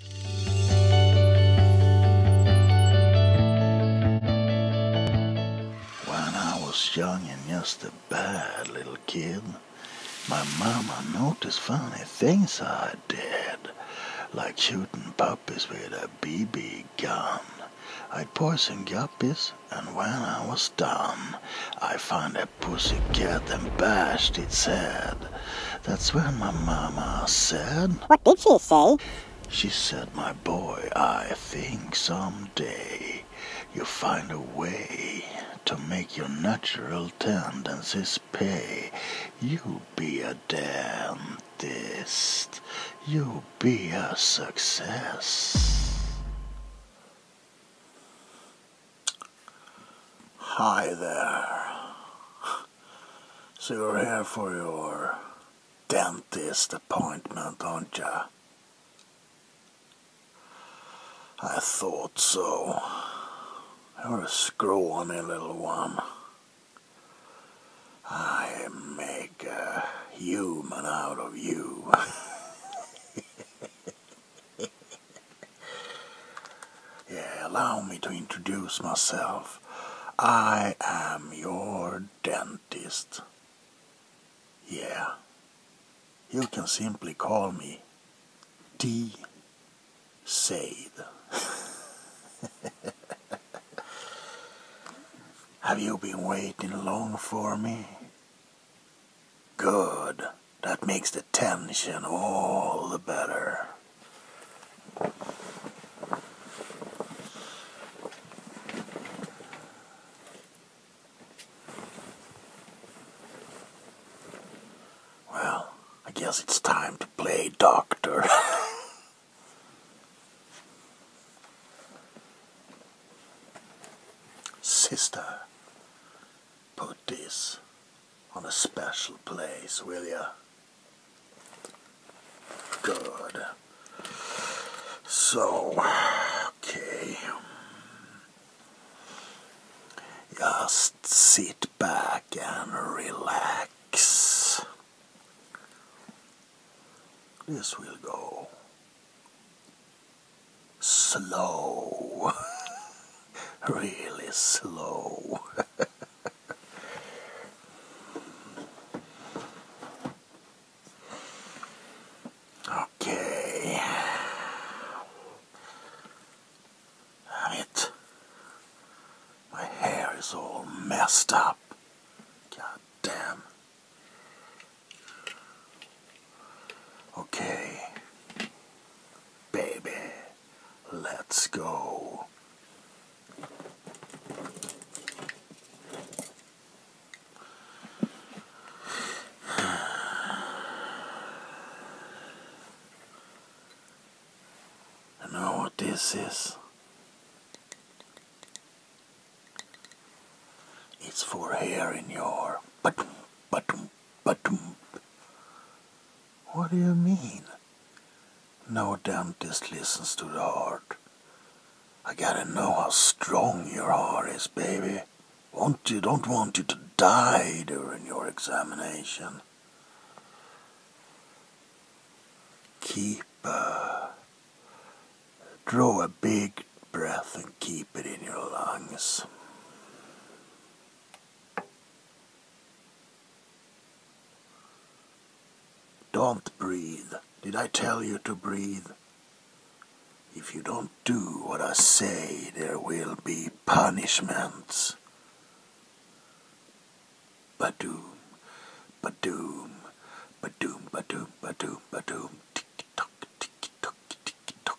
When I was young and just a bad little kid, my mama noticed funny things I did, like shooting puppies with a BB gun. I'd poison guppies, and when I was done, I found a pussy cat and bashed its head. That's what my mama said. What did she say? She said, My boy, I think someday you'll find a way to make your natural tendencies pay. You'll be a dentist. You'll be a success. Hi there. So you're here for your dentist appointment, aren't you? I thought so. You're a scrawny little one. I make a human out of you. yeah, allow me to introduce myself. I am your dentist. Yeah, you can simply call me D. Said. Have you been waiting long for me? Good. That makes the tension all the better. Well, I guess it's time to play doctor. Sister, put this on a special place, will you? Good. So, okay. Just sit back and relax. This will go slow. really slow. okay. Damn it. My hair is all messed up. God damn. Okay. Baby. Let's go. I know what this is. It's for hair in your button, button, button. What do you mean? No dentist listens to the heart. I gotta know how strong your heart is, baby. Want you don't want you to die during your examination. Keep uh, draw a big breath and keep it in your lungs. Don't breathe. Did I tell you to breathe? If you don't do what I say, there will be punishments. Badoom, badoom, badoom, badoom, badoom, badoom. Tick tock, tick tock, tick tock.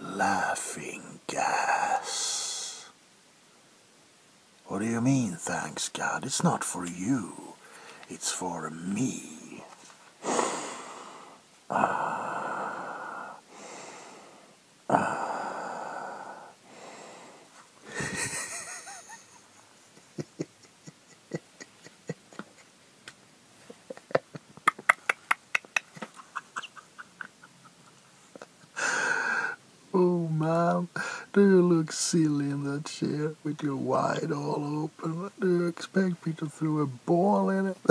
laughing gas. What do you mean, thanks God? It's not for you, it's for me. Ah. Ah. oh, mom, do you look silly in that chair with your wide all open? What Do you expect me to throw a ball in it?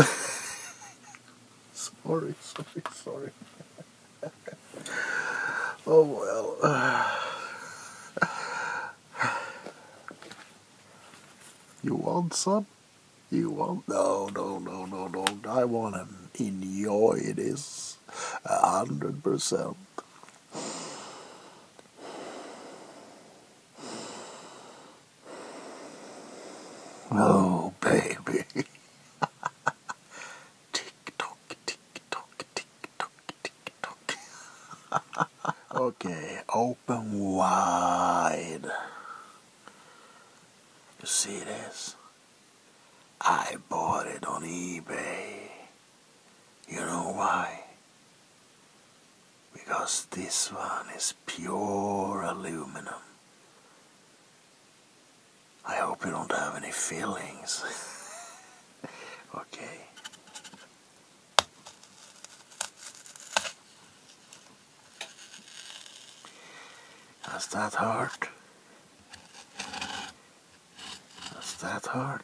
sorry, sorry, sorry. oh, well. you want some? You won't. No, no, no, no, no. I want to enjoy this a hundred percent. Oh, baby. tick tock, tick tock, tick tock, tick tock. okay. Oh. But wide. You see this? I bought it on eBay. You know why? Because this one is pure aluminum. I hope you don't have any feelings. okay. That's that hard? That's that hard?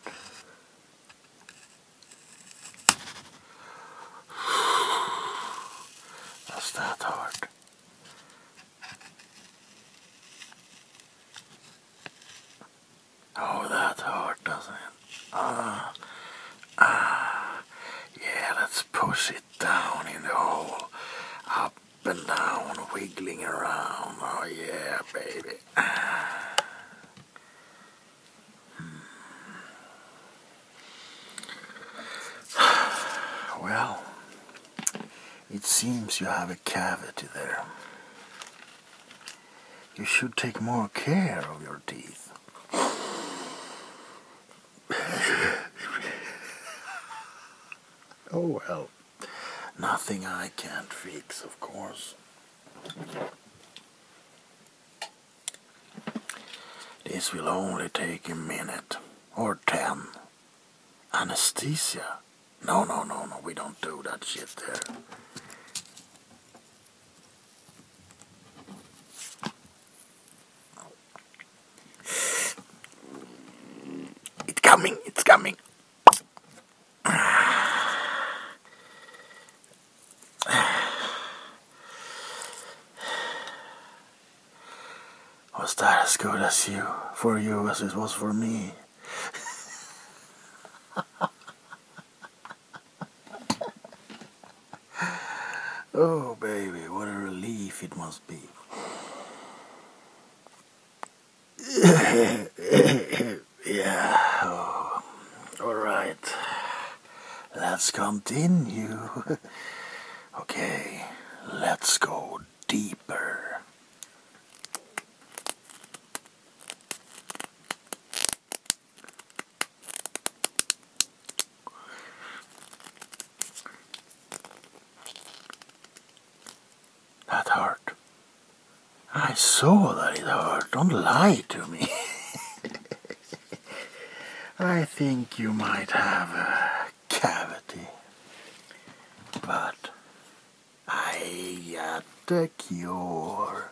That's that hard? Oh, that hard, doesn't it? Ah, ah. Yeah, let's push it down in the hole. Up and down, wiggling around. Oh, yeah, baby. Hmm. Well, it seems you have a cavity there. You should take more care of your teeth. oh well, nothing I can't fix, of course. This will only take a minute or ten. Anesthesia? No, no, no, no, we don't do that shit there. It's coming, it's coming. Was that as good as you, for you as it was for me? oh, baby, what a relief it must be. yeah. Oh, all right. Let's continue. okay, let's go deeper. That hurt. I saw that it hurt. Don't lie to me. I think you might have a cavity. But I got a cure.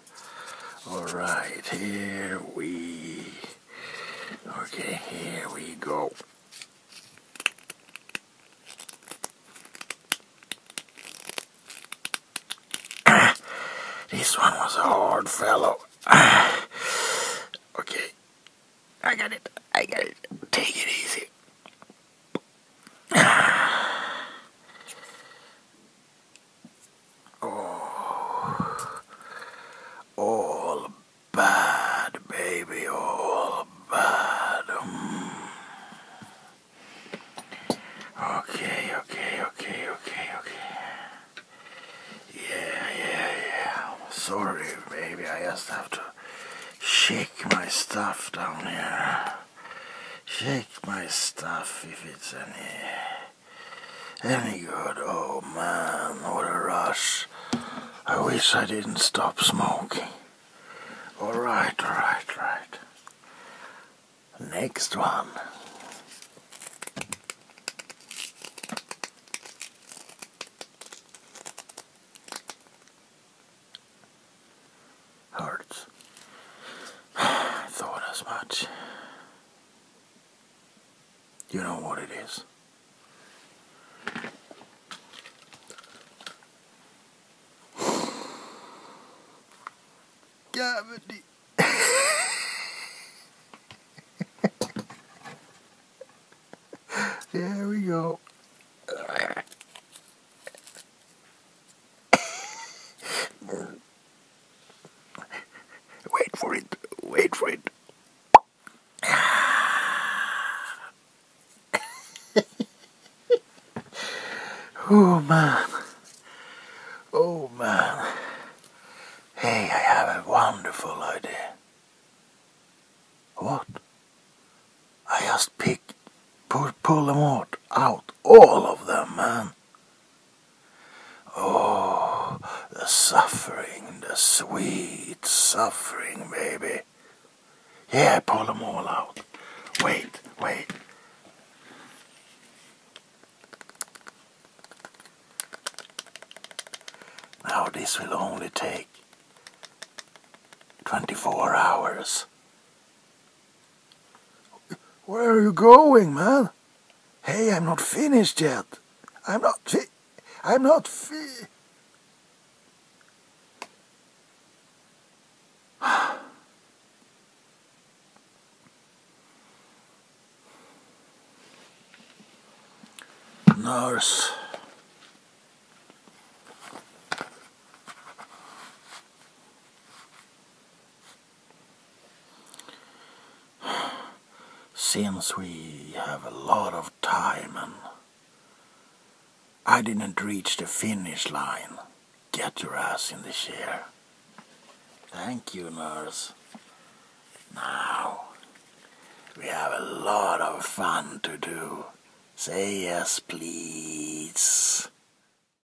All right, here we, okay, here we go. this one was a hard fellow. okay, I got it, I got it, take it easy. Oh, all bad, baby, all bad. Mm. Okay, okay, okay, okay, okay. Yeah, yeah, yeah. Sorry, baby, I just have to shake my stuff down here. Shake my stuff if it's any any good. Oh man, what a rush. I wish I didn't stop smoking. Alright, alright, right. Next one. Hurts. Thought as much. You know what it is. Cavity. there we go. Wait for it. Wait for it. oh man. Oh man. Hey, I have a wonderful idea. What? I just pick, pull, pull them out, out, all of them, man. Oh, the suffering, the sweet suffering, baby. Yeah, pull them all out. Wait, wait. Now this will only take 24 hours. Where are you going, man? Hey, I'm not finished yet. I'm not fi- I'm not fi- Nurse. Since we have a lot of time I didn't reach the finish line, get your ass in the chair. Thank you, nurse. Now, we have a lot of fun to do. Say yes, please.